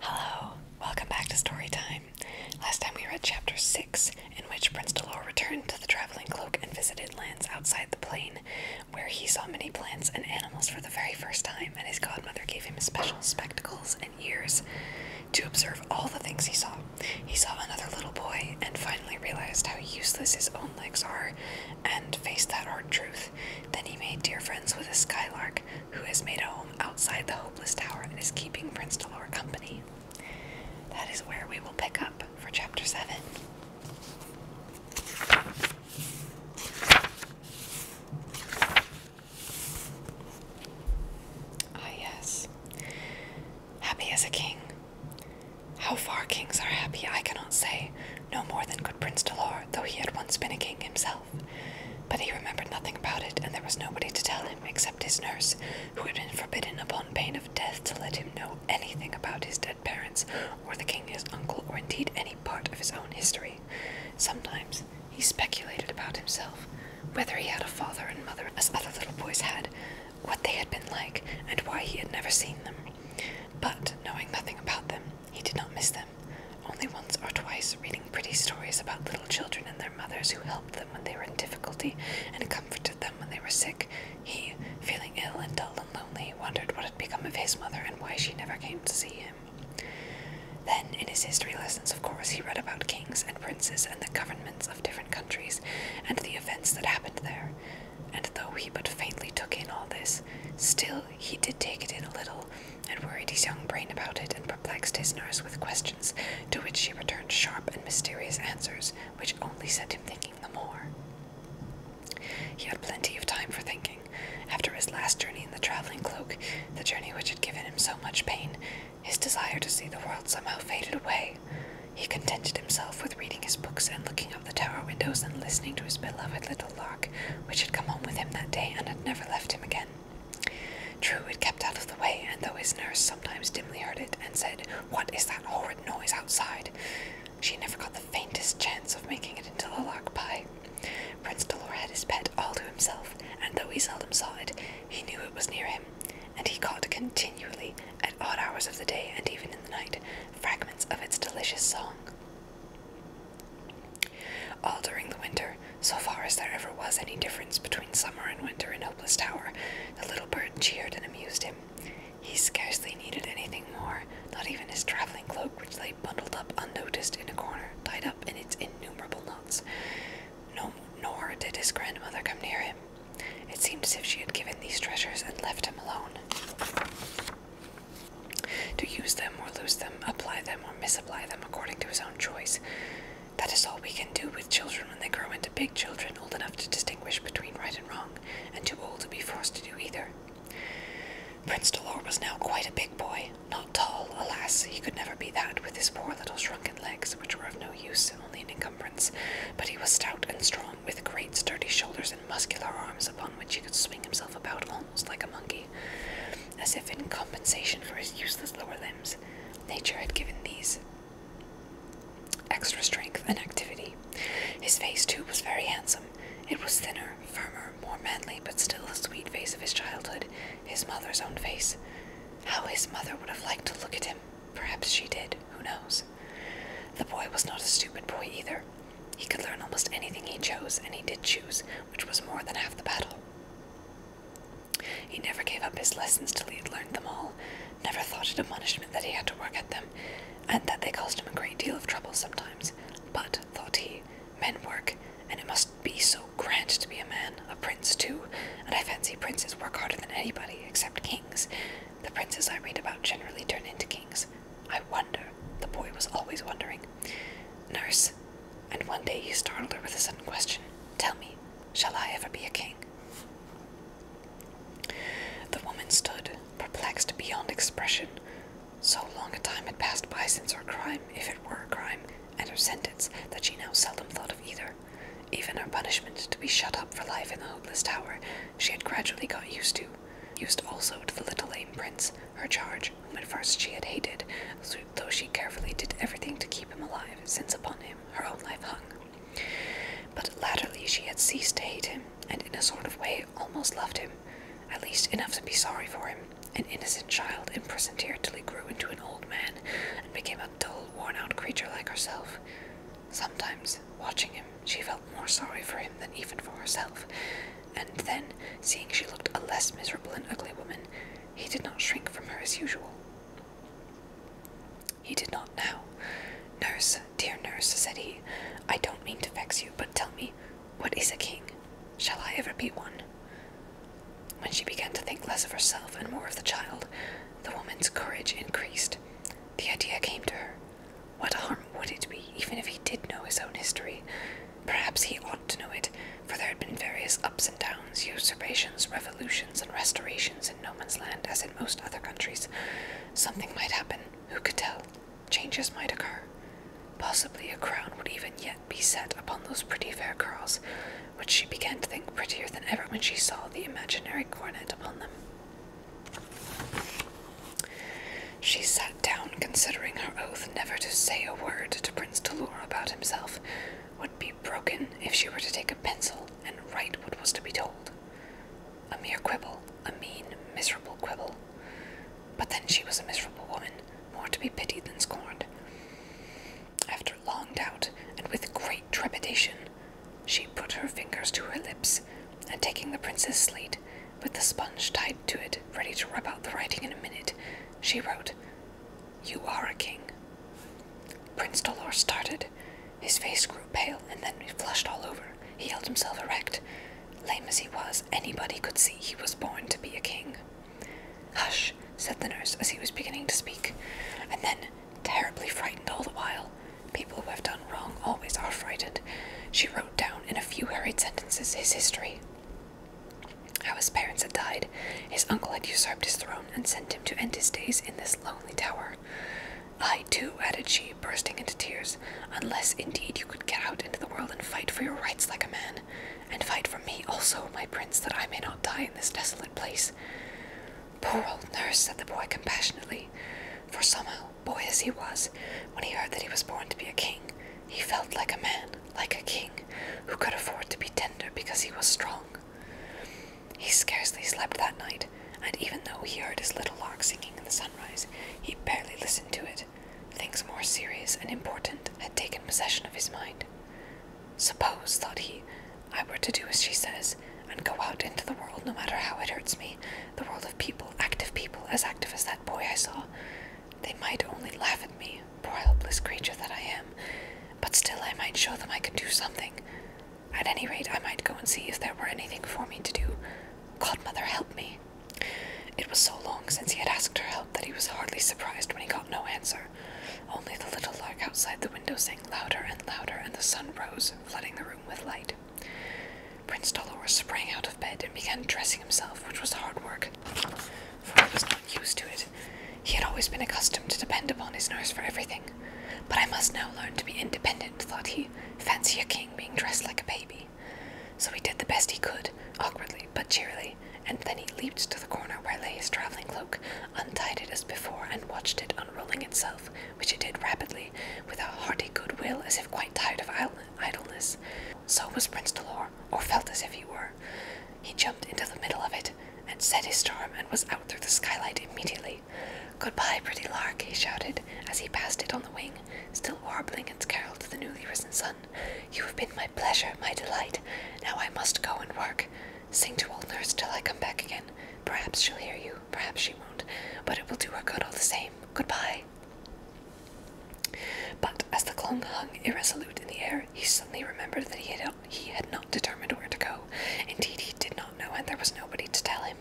Hello, welcome back to Story Time. Last time we read Chapter 6, in which Prince Delor returned to the Traveling Cloak and visited lands outside the plain, where he saw many plants and animals for the very first time, and his godmother gave him special spectacles and ears to observe all the things he saw. He saw another little boy and finally realized how useless his own legs are and faced that hard truth. Then he made dear friends with a skylark who has made a home outside the Hopeless Tower and is keeping Prince Delor company. That is where we will pick up for chapter 7. Ah, yes. Happy as a king. How far kings are happy, I cannot say, no more than could Prince Delor, though he had once been a king himself. But he remembered nothing about it, and there was nobody to tell him except his nurse, who had been forbidden upon pain of death to let him know anything about his dead parents, or the king his uncle, or indeed any part of his own history. Sometimes he speculated about himself, whether he had a father and mother, as other little boys had, what they had been like, and why he had never seen them. But, knowing nothing about them, he did not miss them, only once or twice reading pretty stories about little children and their mothers who helped them when they were in difficulty and comforted them when they were sick. He, feeling ill and dull and lonely, wondered what had become of his mother and why she never came to see him. Then, in his history lessons, of course, he read about kings and princes and the governments of different countries and the events that happened there. And though he but faintly took in all this, still he did take it in a little, and worried his young brain about it, and perplexed his nurse with questions to which she returned sharp and mysterious answers, which only set him thinking the more. He had plenty of time for thinking. After his last journey in the traveling cloak, the journey which had given him so much pain, his desire to see the world somehow faded away. He contented himself with reading his books and looking up the tower windows and listening to his beloved little little lark which had come home with him that day and had never left him again. True, it kept out of the way, and though his nurse sometimes dimly heard it and said, What is that horrid noise outside? she never got the faintest chance of making it into a lark pie. Prince Dolor had his pet all to himself, and though he seldom saw it, he knew it was near him, and he caught continually, at odd hours of the day and even in the night, fragments of its delicious song. All during the winter, so far as there ever was any difference between summer and winter in Hopeless Tower, the little bird cheered and amused him. He scarcely needed anything more, not even his traveling cloak, which lay bundled up unnoticed in a corner, tied up in its innumerable knots. nor did his grandmother come near him. It seemed as if she had given these treasures and left him alone. To use them or lose them, apply them or misapply them according to his own choice. That is all we can do with children when they grow into big children, old enough to distinguish between right and wrong, and too old to be forced to do either. Prince Dolor was now quite a big boy, not tall, alas, he could never be that with his poor little shrunken legs, which were of no use, only an encumbrance, but he was stout and strong, with great sturdy shoulders and muscular arms upon which he could swing himself about almost like a monkey. As if in compensation for his useless lower limbs, nature had given these extra strength and activity. His face, too, was very handsome. It was thinner, firmer, more manly, but still the sweet face of his childhood, his mother's own face. How his mother would have liked to look at him. Perhaps she did, who knows? The boy was not a stupid boy either. He could learn almost anything he chose, and he did choose, which was more than half the battle. He never gave up his lessons till he had learned them all, never thought it a punishment that he had to work at them, and that they caused him a great deal of trouble sometimes. But, thought he, men work, and it must be so grand to be a man, a prince too, and I fancy princes work harder than anybody, except kings. The princes I read about generally turn into kings, I wonder. The boy was always wondering. Nurse. And one day he startled her with a sudden question Tell me, shall I ever be a king? The woman stood, perplexed beyond expression. So long a time had passed by since her crime, if it were a crime, and her sentence that she now seldom thought of either. Even her punishment to be shut up for life in the hopeless tower, she had gradually got used to, used also to the little lame prince, her charge, whom at first she had hated, though she carefully did everything to keep him alive, since upon him her own life hung. But latterly she had ceased to hate him, and in a sort of way almost loved him, at least enough to be sorry for him, an innocent child imprisoned here till he grew into an old man and became a dull, worn out creature like herself. Sometimes, watching him, she felt more sorry for him than even for herself, and then, seeing she looked a less miserable and ugly woman, he did not shrink from her as usual. He did not now. Nurse, dear nurse, said he, I don't mean to vex you, but tell me, what is a king? Shall I ever be one? When she began to think less of herself and more of the child, the woman's courage increased. The idea came to her what harm would it be, even if he did know his own history? Perhaps he ought to know it, for there had been various ups and downs, usurpations, revolutions, and restorations in no man's land, as in most other countries. Something might happen, who could tell? Changes might occur. Possibly a crown would even yet be set upon those pretty fair curls, which she began to think prettier than ever when she saw the imaginary coronet upon them. She sat down, considering her oath never to say a word to Prince Dolor about himself would be broken if she were to take a pencil and write what was to be told. A mere quibble, a mean, miserable quibble. But then she was a miserable woman, more to be pitied than scorned. After long doubt, and with great trepidation, she put her fingers to her lips, and taking the prince's slate, with the sponge tied to it, ready to rub out the writing in a minute, she wrote, You are a king. Prince Dolor started. His face grew pale, and then flushed all over. He held himself erect. Lame as he was, anybody could see he was born to be a king. Hush, said the nurse as he was beginning to speak, and then, terribly frightened all the while, People who have done wrong always are frightened. She wrote down in a few hurried sentences his history. How his parents had died, his uncle had usurped his throne and sent him to end his days in this lonely tower. I too, added she, bursting into tears, unless indeed you could get out into the world and fight for your rights like a man, and fight for me also, my prince, that I may not die in this desolate place. Poor old nurse, said the boy compassionately, for somehow boy as he was, when he heard that he was born to be a king, he felt like a man, like a king, who could afford to be tender because he was strong. He scarcely slept that night, and even though he heard his little lark singing in the sunrise, he barely listened to it. Things more serious and important had taken possession of his mind. Suppose, thought he, I were to do as she says, and go out into the world no matter how it hurts me the world of people, active people, as active as that boy I saw. They might only laugh at me, poor helpless creature that I am, but still I might show them I could do something. At any rate, I might go and see if there were anything for me to do. Godmother, help me. It was so long since he had asked her help that he was hardly surprised when he got no answer. Only the little lark outside the window sang louder and louder, and the sun rose, flooding the room with light. Prince Dolor sprang out of bed and began dressing himself, which was hard work, for he was not used to it. He had always been accustomed to depend upon his nurse for everything. But I must now learn to be independent, thought he. Fancy a king being dressed like a baby. So he did the best he could, awkwardly but cheerily, and then he leaped to the corner where lay his traveling cloak, untied it as before, and watched it unrolling itself, which it did rapidly with a hearty good will, as if quite tired of idleness. So was Prince Dolor, or felt as if he were. He jumped into the middle of it, and set his storm, and was out through the skylight immediately. Goodbye, pretty lark, he shouted, as he passed it on the wing, still warbling its carol to the newly risen sun. You have been my pleasure, my delight. Now I must go and work. Sing to old nurse till I come back again. Perhaps she'll hear you, perhaps she won't, but it will do her good all the same. Goodbye. But as the clong hung irresolute in the air, he suddenly remembered that he had, not determined where to go. Indeed, he did not know, and there was nobody to tell him.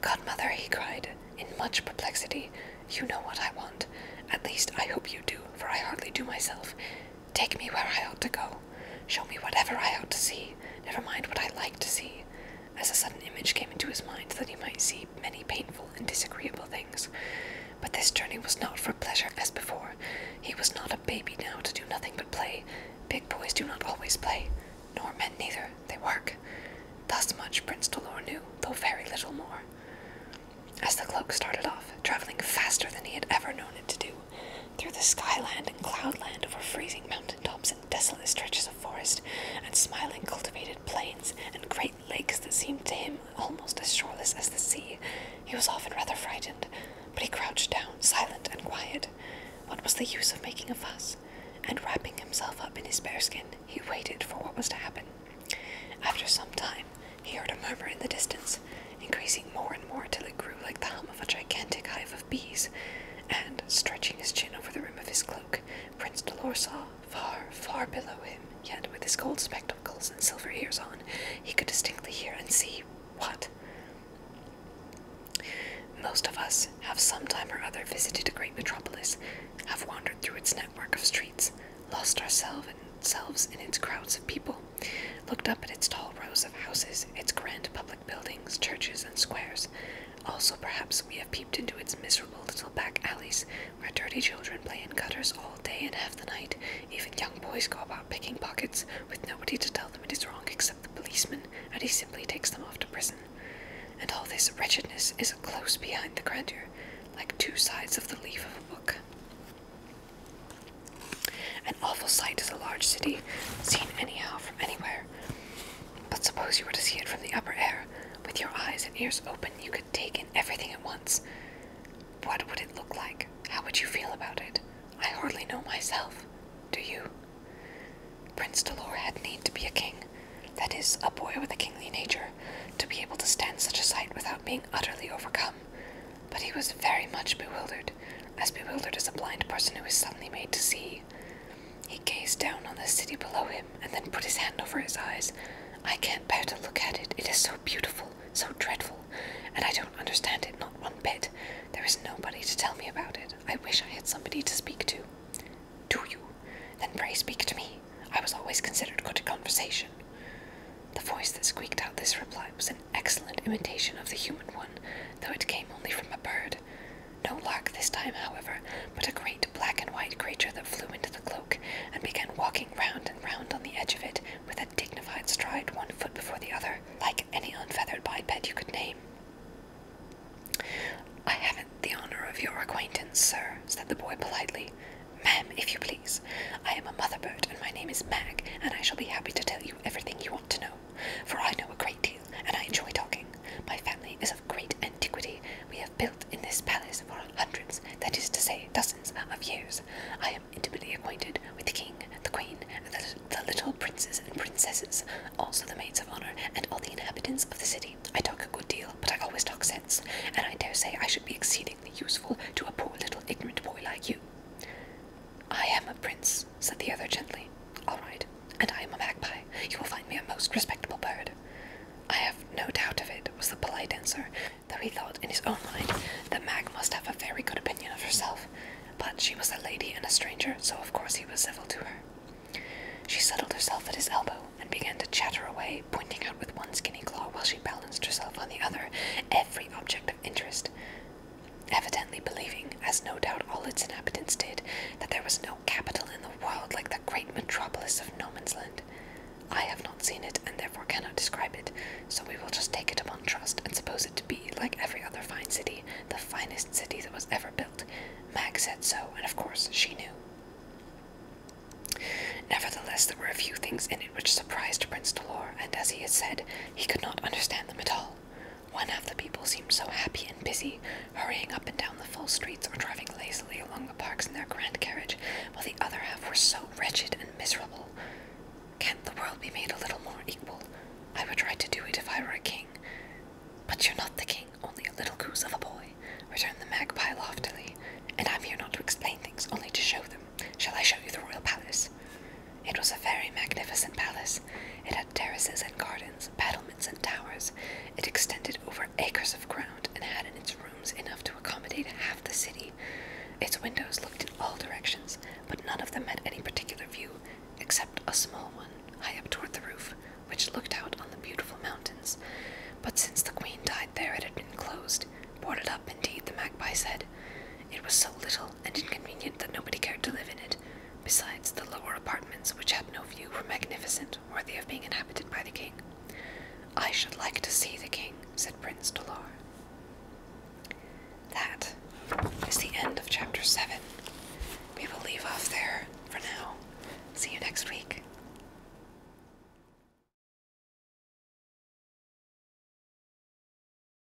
Godmother, he cried, in much perplexity, you know what I want. At least I hope you do, for I hardly do myself. Take me where I ought to go. Show me whatever I ought to see. Never mind what I like to see as a sudden image came into his mind that he might see many painful and disagreeable things. But this journey was not for pleasure as before. He was not a baby now to do nothing but play. Big boys do not always play, nor men neither. They work. Thus much Prince Delor knew, though very little more. As the cloak started off, traveling faster than he had ever known it to do, through the skyland and cloudland over freezing mountain tops and desolate stretches of forest, and smiling cultivated plains, and great lakes that seemed to him almost as shoreless as the sea. He was often rather frightened, but he crouched down, silent and quiet. What was the use of making a fuss? And wrapping himself up in his bearskin, he waited for what was to happen. After some time, he heard a murmur in the distance, increasing more and more till it grew like the hum of a gigantic hive of bees and, stretching his chin over the rim of his cloak, Prince Dolor saw, far, far below him, yet with his gold spectacles and silver ears on, he could distinctly hear and see what? Most of us have some time or other visited a great metropolis, have wandered through its network of streets, lost ourselves in its crowds of people, looked up at its tall rows of houses, its grand public buildings, churches, and squares. Also, perhaps we have peeped into its miserable little back alleys, where dirty children play in gutters all day and half the night. Even young boys go about picking pockets, with nobody to tell them it is wrong except the policeman, and he simply takes them off to prison. And all this wretchedness is close behind the grandeur, like two sides of the leaf of a book. An awful sight is a large city, seen anyhow from anywhere. But suppose you were to see it from the upper air, with your eyes and ears open, you could take in everything at once. What would it look like? How would you feel about it? I hardly know myself. Do you? Prince Dolore had need to be a king, that is, a boy with a kingly nature, to be able to stand such a sight without being utterly overcome. But he was very much bewildered, as bewildered as a blind person who is suddenly made to see he gazed down on the city below him and then put his hand over his eyes. I can't bear to look at it. It is so beautiful, so dreadful, and I don't understand it not one bit. There is nobody to tell me about it. I wish I had somebody to speak to. Do you? Then pray speak to me. I was always considered good at conversation. The voice that squeaked out this reply was an excellent imitation of the human one, though it came only from a bird. No lark this time, however, but a great black and white creature that flew into the cloak and began walking round and round on the edge of it with a dignified stride, one foot before the other, like any unfeathered biped you could name. I haven't the honor of your acquaintance, sir, said the boy politely. Ma'am, if you please. I am a mother bird, and my name is Mag, and I shall be happy to tell you everything you want to know for I know a great deal, and I enjoy talking. My family is of great antiquity. We have built in this palace for hundreds, that is to say, dozens of years. I am intimately acquainted with the king, the queen, the, the little princes and princesses, also the maids of honor, and all the inhabitants of the city. I talk a good deal, but I always talk sense, and I dare say I should be exceedingly useful to a poor little ignorant boy like you. I am a prince, said the other gently. All right, and I am a magpie. You will find me a most respectable bird. I have no doubt of it, was the polite answer, though he thought in his own mind that Mag must have a very good opinion of herself. But she was a lady and a stranger, so of course he was civil to her. She settled herself at his elbow and began to chatter away, pointing out with one skinny claw while she balanced herself on the other every object interest, evidently believing, as no doubt all its inhabitants did, that there was no capital in the world like the great metropolis of No Man's Land. I have not seen it, and therefore cannot describe it, so we will just take it upon trust and suppose it to be, like every other fine city, the finest city that was ever built. Mag said so, and of course she knew. Nevertheless, there were a few things in it which surprised Prince Dolor, and as he had said, he could not understand them at all. One half the people seemed so happy and busy, hurrying up and down the full streets or driving lazily along the parks in their grand carriage, while the other half were so wretched and miserable. Can't the world be made a little more equal? I would try to do it if I were a king. But you're not the king, only a little goose of a boy, returned the magpie loftily, and I'm here not to explain things, only to show them. Shall I show you the royal palace? It was a very magnificent palace. It had terraces and gardens, battlements and towers. It extended over acres of ground and had in its rooms enough to accommodate half the city. Its windows looked in all directions, but none of them had any particular view, except a small one high up toward the roof, which looked out on the beautiful mountains. But since the queen died there, it had been closed, boarded up, indeed, the magpie said. It was so little and inconvenient that nobody cared to live in it. Besides, the lower apartments, which had no view, were magnificent, worthy of being inhabited by the king. I should like to see the king, said Prince Dolore. That is the end of chapter 7. We will leave off there for now. See you next week.